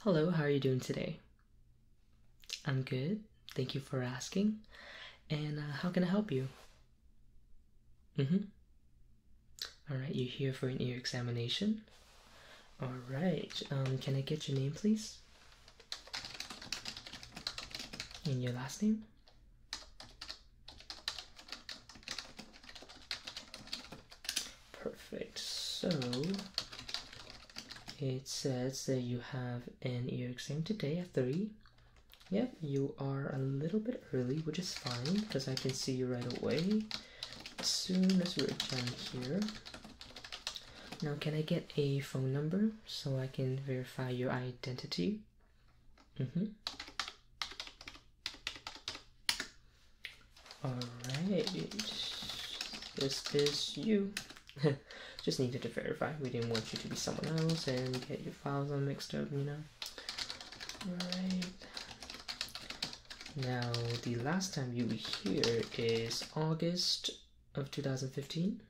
Hello, how are you doing today? I'm good. Thank you for asking. And uh, how can I help you? Mm-hmm. Alright, you're here for an ear examination. Alright, um, can I get your name, please? And your last name? Perfect. So it says that you have an ear exam today at 3. Yep, you are a little bit early, which is fine because I can see you right away as soon as we're done here. Now, can I get a phone number so I can verify your identity? Mm-hmm. Alright, this is you. Just needed to verify. We didn't want you to be someone else and get your files all mixed up, you know? Alright. Now, the last time you were here is August of 2015.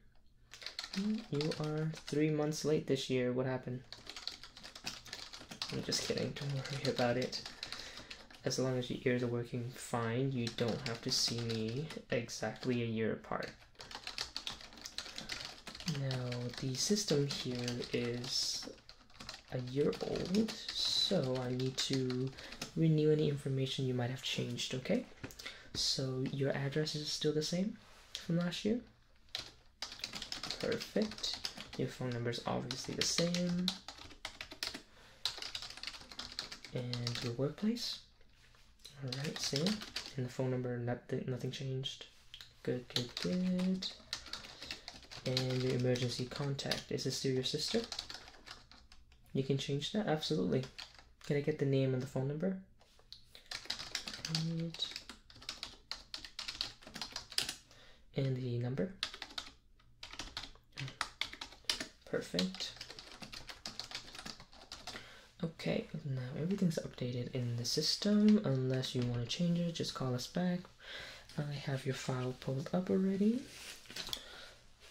Hmm, you are three months late this year. What happened? I'm just kidding. Don't worry about it as long as your ears are working fine, you don't have to see me exactly a year apart. Now, the system here is a year old, so I need to renew any information you might have changed, okay? So your address is still the same from last year? Perfect. Your phone number is obviously the same and your workplace. All right, same. And the phone number, nothing, changed. Good, good, good. And your emergency contact. Is this still your sister? You can change that, absolutely. Can I get the name and the phone number? And the number? Perfect. Okay, now everything's updated in the system. Unless you want to change it, just call us back. I have your file pulled up already.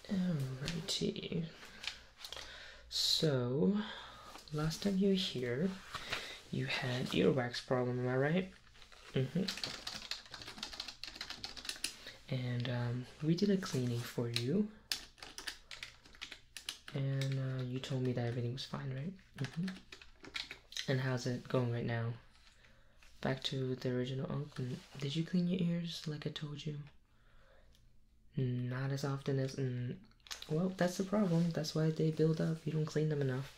Alrighty. So, last time you were here, you had earwax problem, am I right? Mm -hmm. And um, we did a cleaning for you, and uh, you told me that everything was fine, right? Mm -hmm. And how's it going right now? Back to the original. Oh, did you clean your ears like I told you? Not as often as. well, that's the problem. That's why they build up. You don't clean them enough.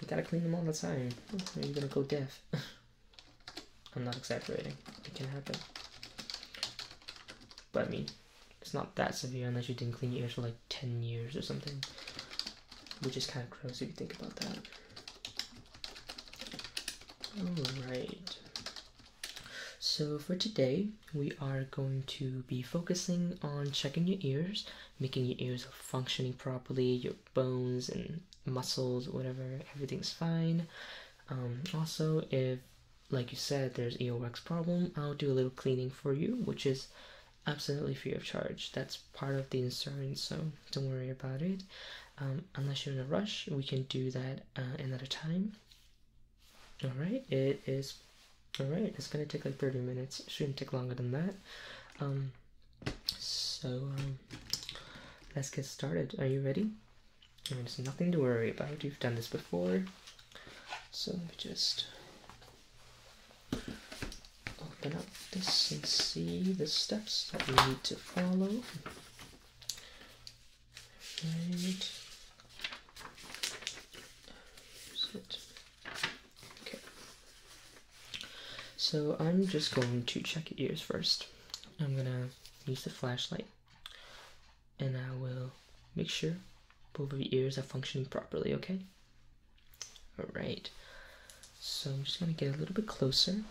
You gotta clean them all the time, or you're gonna go deaf. I'm not exaggerating, it can happen. But I mean, it's not that severe unless you didn't clean your ears for like 10 years or something. Which is kind of gross if you think about that. Alright. So for today, we are going to be focusing on checking your ears, making your ears functioning properly, your bones and muscles, whatever, everything's fine. Um, also, if like you said, there's EOX problem, I'll do a little cleaning for you, which is absolutely free of charge. That's part of the insurance, so don't worry about it. Um, unless you're in a rush, we can do that uh, another time. All right, it is. All right, it's gonna take like 30 minutes. Shouldn't take longer than that. Um, so um, let's get started. Are you ready? there's nothing to worry about. You've done this before. So let me just open up this and see the steps that we need to follow. Right. Set Okay. So I'm just going to check ears first. I'm gonna use the flashlight and I will make sure both of the ears are functioning properly, okay? Alright. So I'm just gonna get a little bit closer.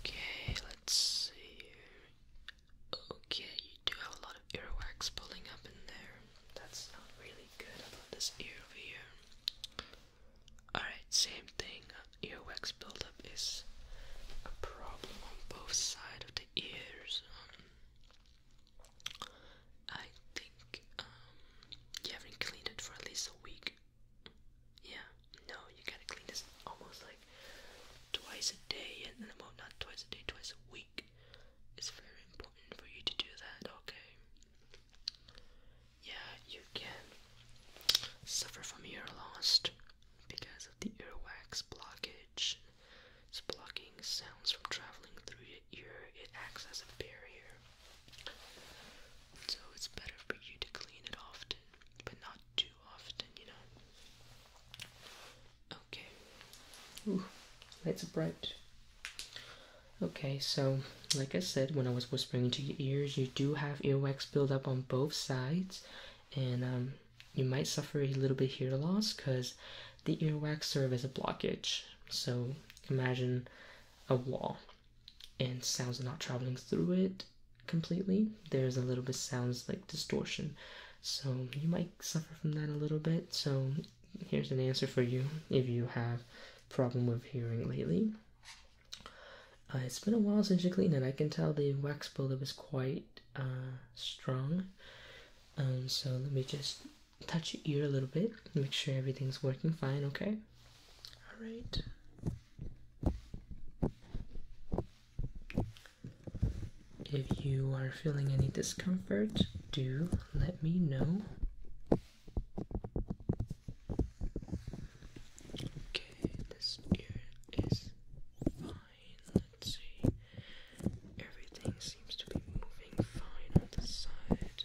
Okay, let's see. Okay, you do have a lot of earwax pulling up in there. That's not really good about this ear over here. Alright, same thing. Earwax buildup is a problem on both sides of the ears. Um, I think um, you have it for at least a week. Yeah, no, you gotta clean this almost like twice a day, and not twice a day, twice a week. It's very important for you to do that, okay? Yeah, you can suffer from ear loss because of the earwax blockage. It's blocking sounds from traveling through your ear, it acts as a barrier. So it's better for you to clean it often, but not too often, you know. Okay. lights are bright. Okay, so like I said, when I was whispering into your ears, you do have earwax build up on both sides, and um, you might suffer a little bit hear loss because the earwax serve as a blockage. So imagine a wall, and sounds are not traveling through it completely. There's a little bit sounds like distortion, so you might suffer from that a little bit. So here's an answer for you if you have problem with hearing lately. Uh, it's been a while since you cleaned it. I can tell the wax buildup is quite uh, strong. Um, so let me just touch your ear a little bit. Make sure everything's working fine, okay? Alright. If you are feeling any discomfort, do let me know. Okay, this ear is fine. Let's see. Everything seems to be moving fine on this side.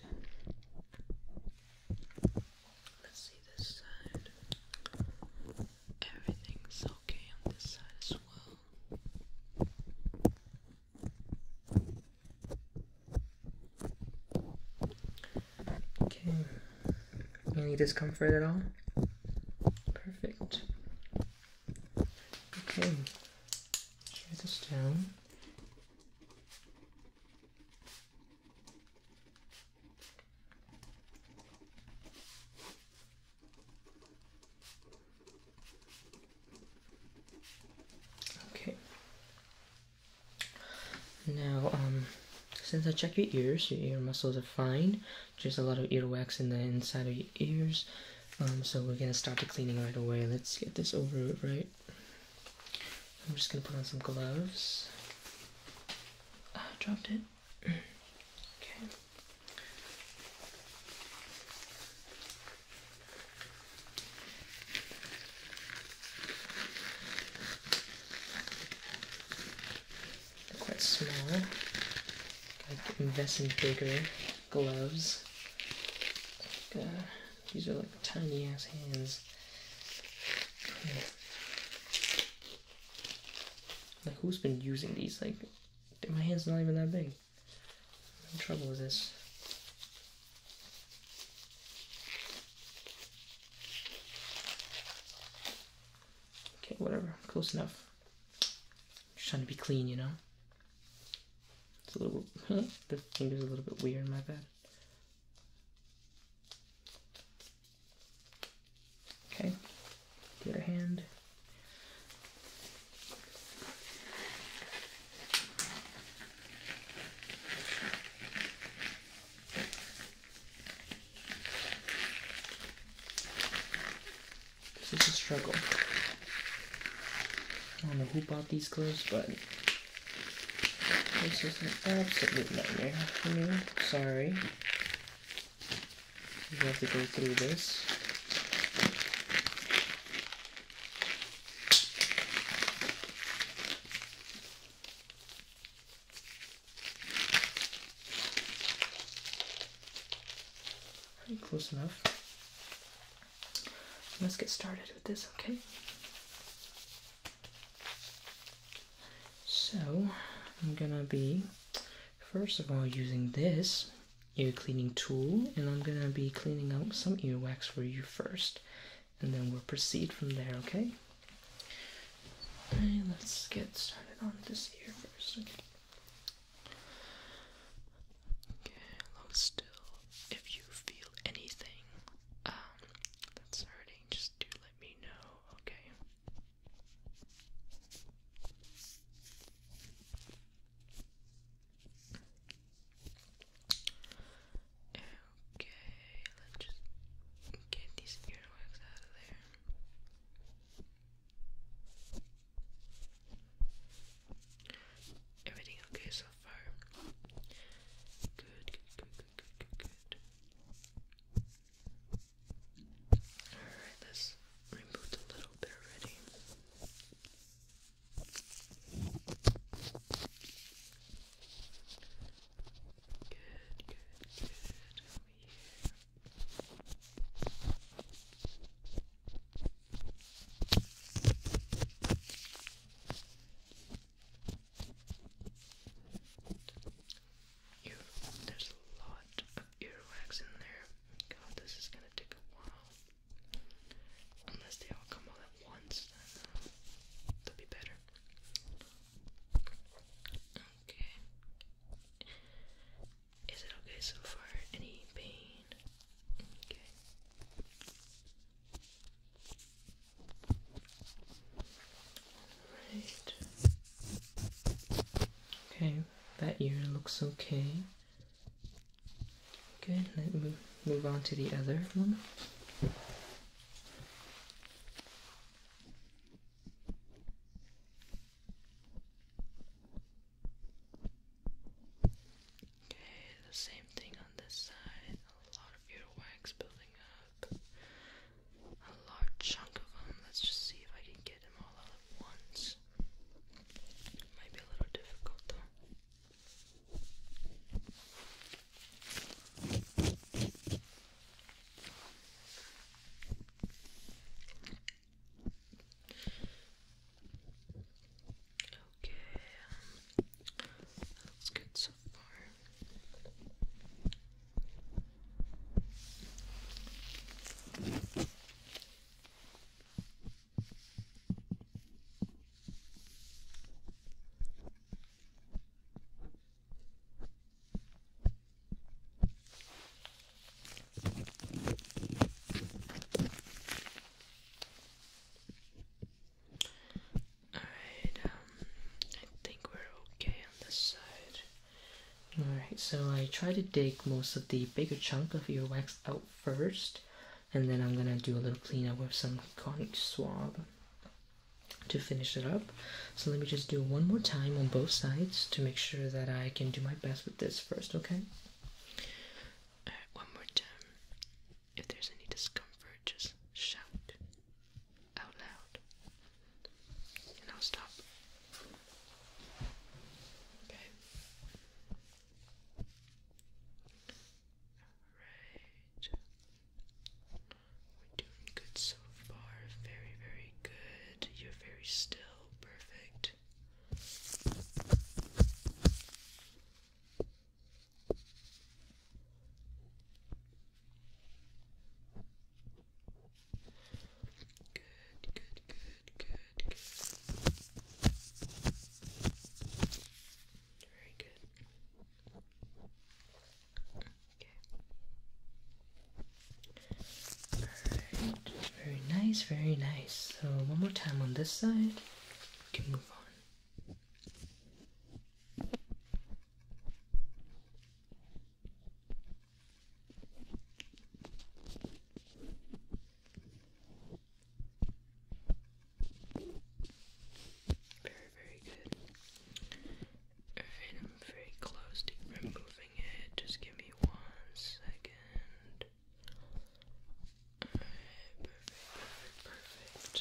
Let's see this side. Everything's okay on this side as well. Okay. Any discomfort at all? Perfect. Okay. Share this down. Okay. Now, um, since I checked your ears, your ear muscles are fine. Just a lot of earwax in the inside of your ears. Um, so we're gonna start the cleaning right away. Let's get this over with, right? I'm just gonna put on some gloves. dropped it. okay quite small. invest in bigger gloves. Uh, these are like tiny ass hands. Like who's been using these? Like my hand's are not even that big i trouble with this. Okay, whatever. Close enough. just trying to be clean, you know? It's a little... the finger's a little bit weird, my bad. Okay. Get other hand. This is a struggle. I don't know who bought these clothes, but this is an absolute nightmare for me. Sorry. We have to go through this. Pretty close enough. Let's get started with this, okay? So, I'm gonna be first of all using this ear cleaning tool and I'm gonna be cleaning out some earwax for you first and then we'll proceed from there, okay? Alright, let's get started on this ear first, okay? Okay, still. If you feel anything um, that's hurting, just do let me know, okay? Okay, let's just get these earwax out of there. Everything okay so far? Good, good, good, good, good, good, Alright, let removed a little bit already. Good, good, good. you there's a lot of earwax in there. God, this is gonna take a while. Unless they all come all at once, uh, that'll be better. Okay. Is it okay so far? Any pain? Okay. Alright. Okay, that ear looks okay. Good, let me move, on to the other one. Okay, the same thing on this side. A lot of earwax building up. A large chunk of them. Let's just see if I can get them all at once. Might be a little difficult though. Okay, um, that's good so far. Alright, um, I think we're okay on this side. Alright, so I try to dig most of the bigger chunk of your wax out first, and then I'm gonna do a little cleanup with some conic swab to finish it up. So let me just do one more time on both sides to make sure that I can do my best with this first, okay? Alright, one more time. If there's any discomfort, just shout out loud and I'll stop. Okay. Alright. We're doing good so far. Very, very good. You're very still. Perfect. Good, good, good, good, Very good. Okay. Alright, very nice, very nice. So, one more time on this side, we can move on. Very, very good. Alright, I'm very close to removing it. Just give me one second. perfect, perfect,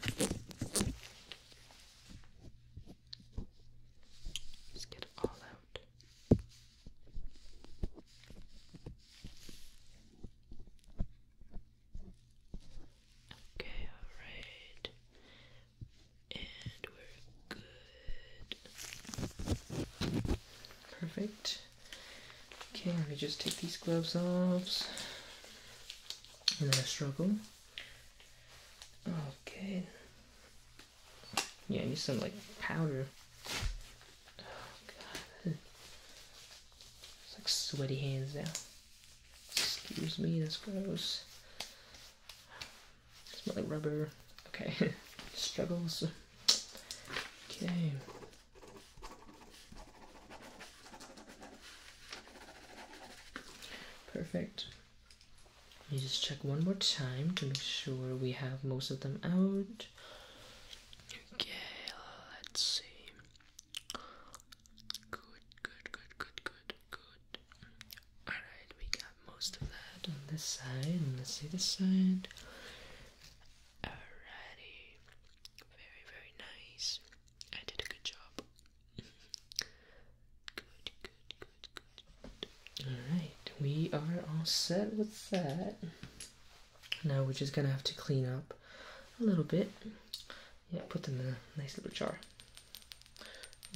perfect. Just get all that Okay, alright. And we're good. Perfect. Okay, let me just take these gloves off. And then I to struggle. Okay. Yeah, I need some like powder. Oh god. It's like sweaty hands now. Excuse me, that's gross. It smell like rubber. Okay. Struggles. Okay. Perfect. Let me just check one more time to make sure we have most of them out. Okay, let's see. Good, good, good, good, good, good. Alright, we got most of that on this side. Let's see this side. Alrighty. Very, very nice. I did a good job. Alright, we are all set with that. Now we're just gonna have to clean up a little bit. Yeah, put them in a nice little jar.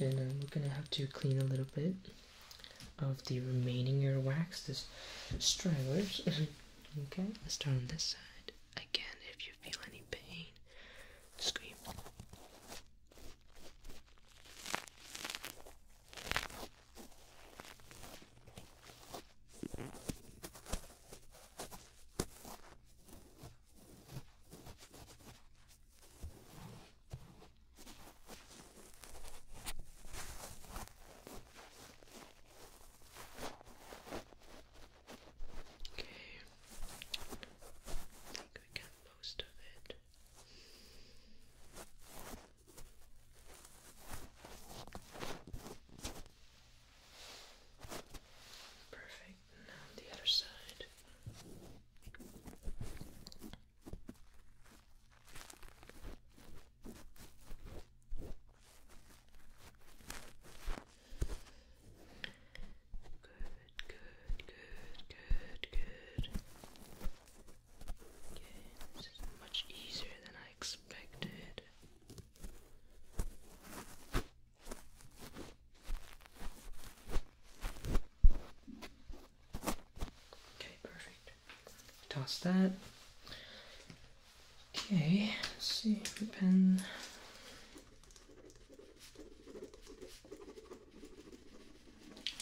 And uh, we're gonna have to clean a little bit of the remaining ear wax. this stragglers. okay, let's start on this side. Again, if you feel any pain, scream. I think we got most of it. Perfect. Now the other side. Good, good, good, good, good. Okay, this is much easier than I expected. Okay, perfect. Toss that. Okay, let's see, pen.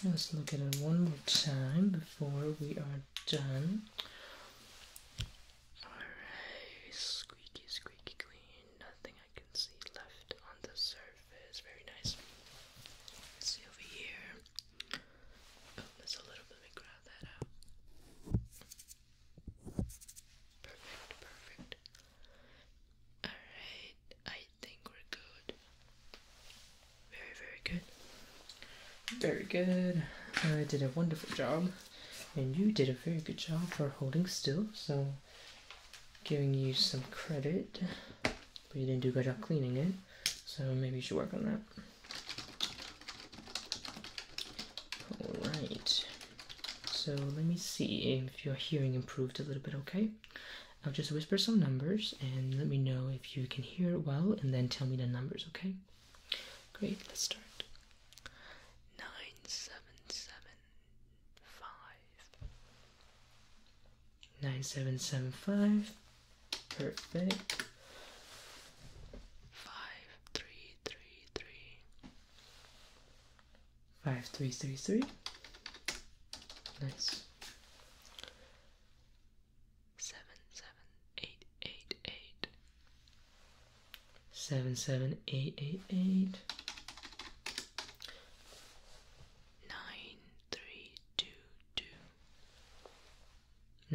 Let's look at it one more time before we are done. Alright, squeaky, squeaky clean. Nothing I can see left on the surface. Very nice. see over here. Oh, there's a little bit. Let me grab that out. Perfect, perfect. Alright, I think we're good. Very, very good. Very good. I did a wonderful job. And you did a very good job for holding still, so giving you some credit. But you didn't do a good job cleaning it, so maybe you should work on that. Alright. So let me see if your hearing improved a little bit, okay? I'll just whisper some numbers and let me know if you can hear it well and then tell me the numbers, okay? Great, let's start. 9775. 9775. Perfect. 5333 five three three three. Nice. Seven seven eight eight eight. Seven seven eight eight eight. Nine three two two.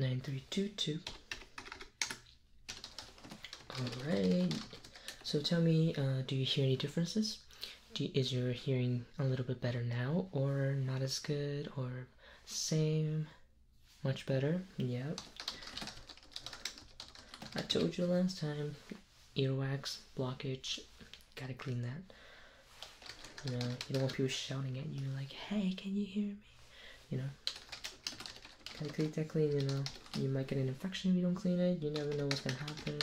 Nine three two two. All right. So tell me, uh, do you hear any differences? is. your hearing a little bit better now, or not as good, or same? Much better? Yep. I told you last time earwax, blockage, gotta clean that. You know, you don't want people shouting at you like, hey, can you hear me? You know, gotta keep that clean, you know. You might get an infection if you don't clean it, you never know what's gonna happen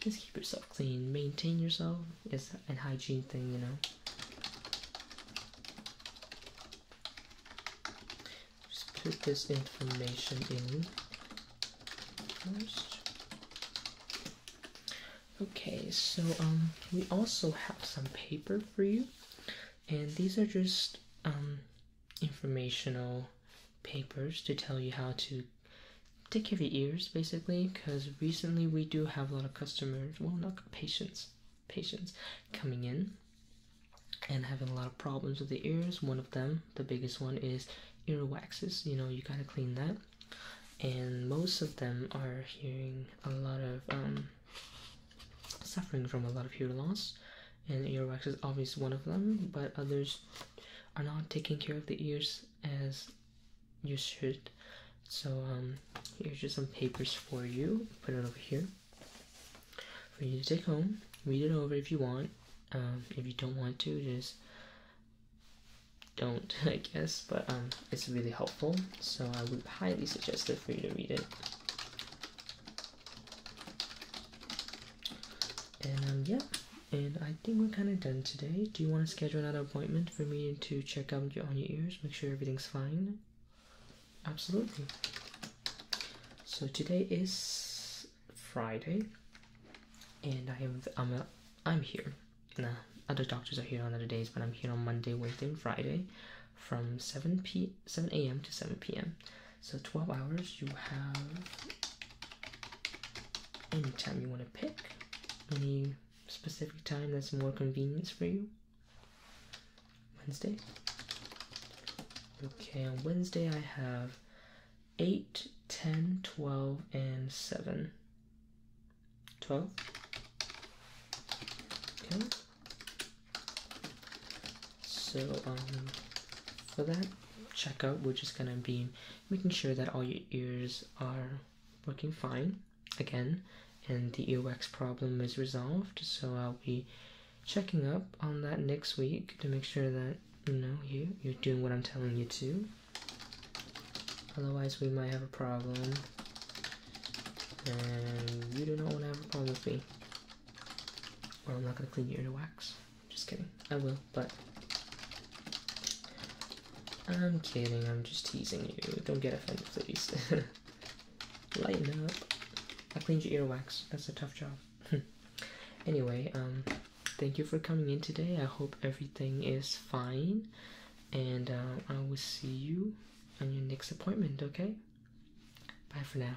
just keep yourself clean, maintain yourself It's a hygiene thing, you know. Just put this information in Okay, so um, we also have some paper for you, and these are just um, informational papers to tell you how to take care of your ears basically because recently we do have a lot of customers well not patients patients coming in and having a lot of problems with the ears one of them the biggest one is earwaxes. you know you gotta clean that and most of them are hearing a lot of um, suffering from a lot of hearing loss and earwax is obviously one of them, but others are not taking care of the ears as you should. So um, here's just some papers for you. Put it over here for you to take home. Read it over if you want. Um, if you don't want to, just don't, I guess. But um, it's really helpful, so I would highly suggest it for you to read it. And um, yeah, and I think we're kind of done today. Do you want to schedule another appointment for me to check up on your ears, make sure everything's fine? Absolutely. So today is Friday, and I am I'm here. Nah, other doctors are here on other days, but I'm here on Monday, Wednesday, and Friday, from seven p seven a.m. to seven p.m. So 12 hours you have any time you want to pick, any specific time that's more convenient for you. Wednesday. Okay, on Wednesday I have 8, 10, 12, and 7. 12. Okay. So um, for that checkup, we're just gonna be making sure that all your ears are working fine again, and the earwax problem is resolved. So I'll be checking up on that next week to make sure that you know you're doing what I'm telling you to. Otherwise, we might have a problem, and you do not want to have a problem with me. Or I'm not gonna clean your earwax. Just kidding. I will, but I'm kidding. I'm just teasing you. Don't get offended, please. Lighten up. I cleaned your earwax. That's a tough job. anyway, um, thank you for coming in today. I hope everything is fine, and uh, I will see you on your next appointment. Okay. Bye for now.